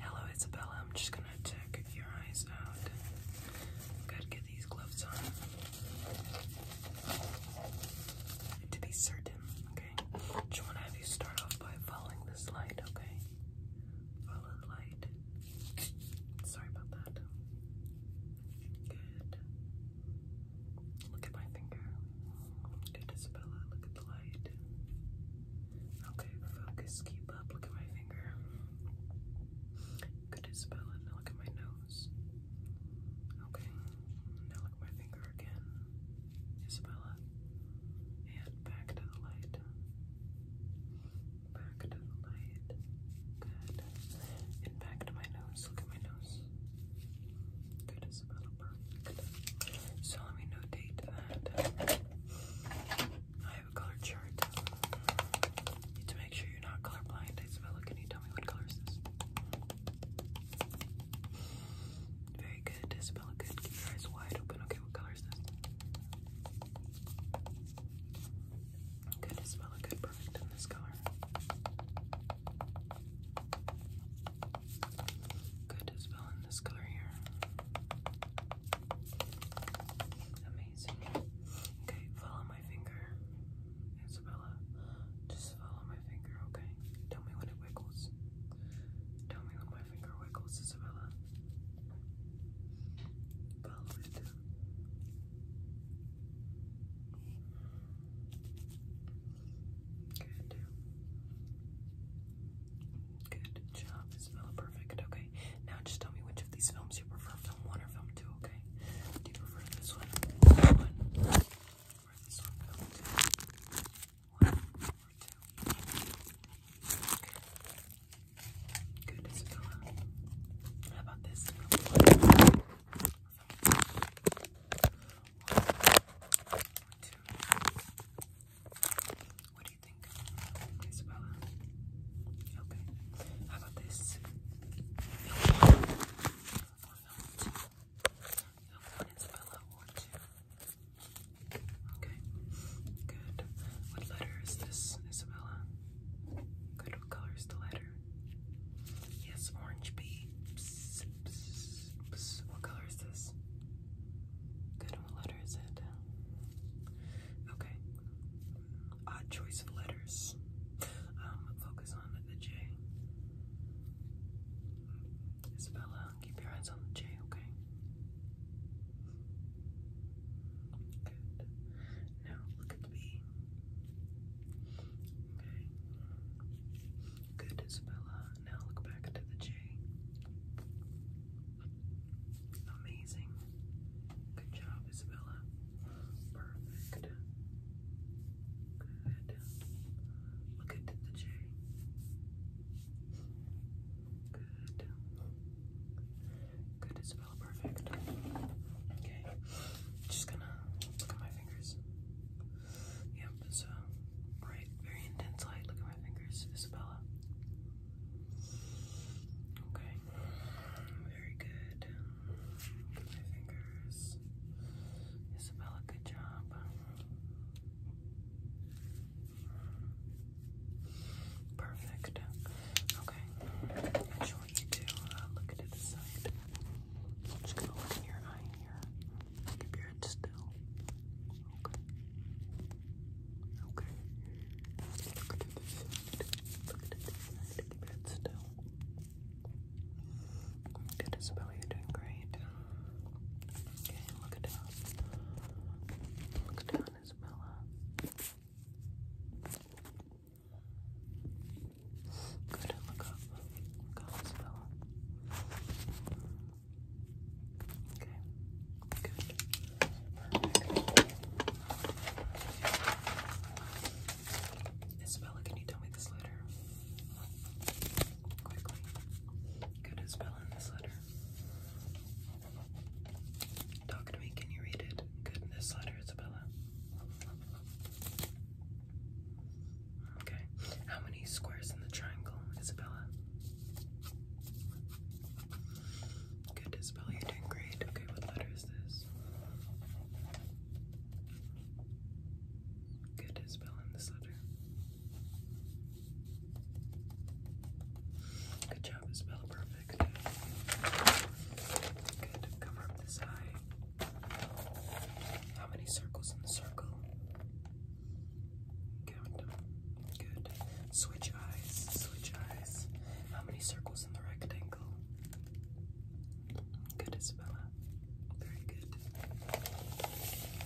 Hello, Isabella. I'm just gonna check your eyes out. Gotta get these gloves on to be certain. Okay, just wanna have you start off by following this light. Okay, follow the light. Sorry about that. Good. Look at my finger. Good, Isabella. Look at the light. Okay, focus. Keep up. Look at my finger. Good, Isabella. Now look at my nose. Okay. Now look at my finger again. Isabella. And back to the light back to the light. Good. And back to my nose. Look at my nose. Good. It's about perfect. So let me notate that. Uh, I have a color chart. To make sure you're not colorblind, Isabella, can you tell me what color is this? Very good, Isabella. Good. Keep your eyes wide open. Okay, what color is this? Good, Isabella. Good in this color. Good as in this color here. Amazing. Okay, follow my finger, Isabella. Just follow my finger, okay? Tell me when it wiggles. Tell me when my finger wiggles, Isabella. Follow it. Good. Good job, Isabella. Perfect. Okay. Now just tell me which of these films you prefer, film one or film two, okay? Do you prefer this one? This one? Or this one? Film two? One or two? Okay. Good as How about this? One, two. What do you think? Isabella? Okay. How about this? One, two. Isabella, one, two. Okay, good. What letter is this, Isabella? what color is the letter? Yes, orange B. What color is this? what letter is it? Okay. Odd choice of letters. Um, focus on the J. Isabella, keep your eyes on the J, okay? Now look at the B. Okay. Good, Isabella. Now look back to the J. Amazing. Good job, Isabella. Perfect. Good. Look at the J. Good. Good, it's perfect. Okay. Just gonna look at my fingers. Yep, it's bright, very intense light. Look at my fingers, Isabella. Okay. Very good. Look at my fingers. Isabella, good job. Perfect. Okay. I just want you to uh, look into the side. I'm just gonna look in your eye here. Keep your head still. Okay. Okay. Look into the Keep your head still. Oh Good, Isabella, you're doing great. Okay, look down. Look down. Isabella. Good, look up. Look up, Isabella. Okay, good. Isabella, can you tell me this letter? Quickly. Good, Isabella, this letter. Talk to me, can you read it? Goodness letter, Isabella. Okay. How many squares in the triangle, Isabella? Good, Isabella, you're doing great. Okay, what letter is this? Good, Isabella, in this letter. Good job, Isabella. Perfect. Good. Cover this eye. How many circles in the circle? Count Good. Switch eyes. Switch eyes. How many circles in the rectangle? Good, Isabella. Very good.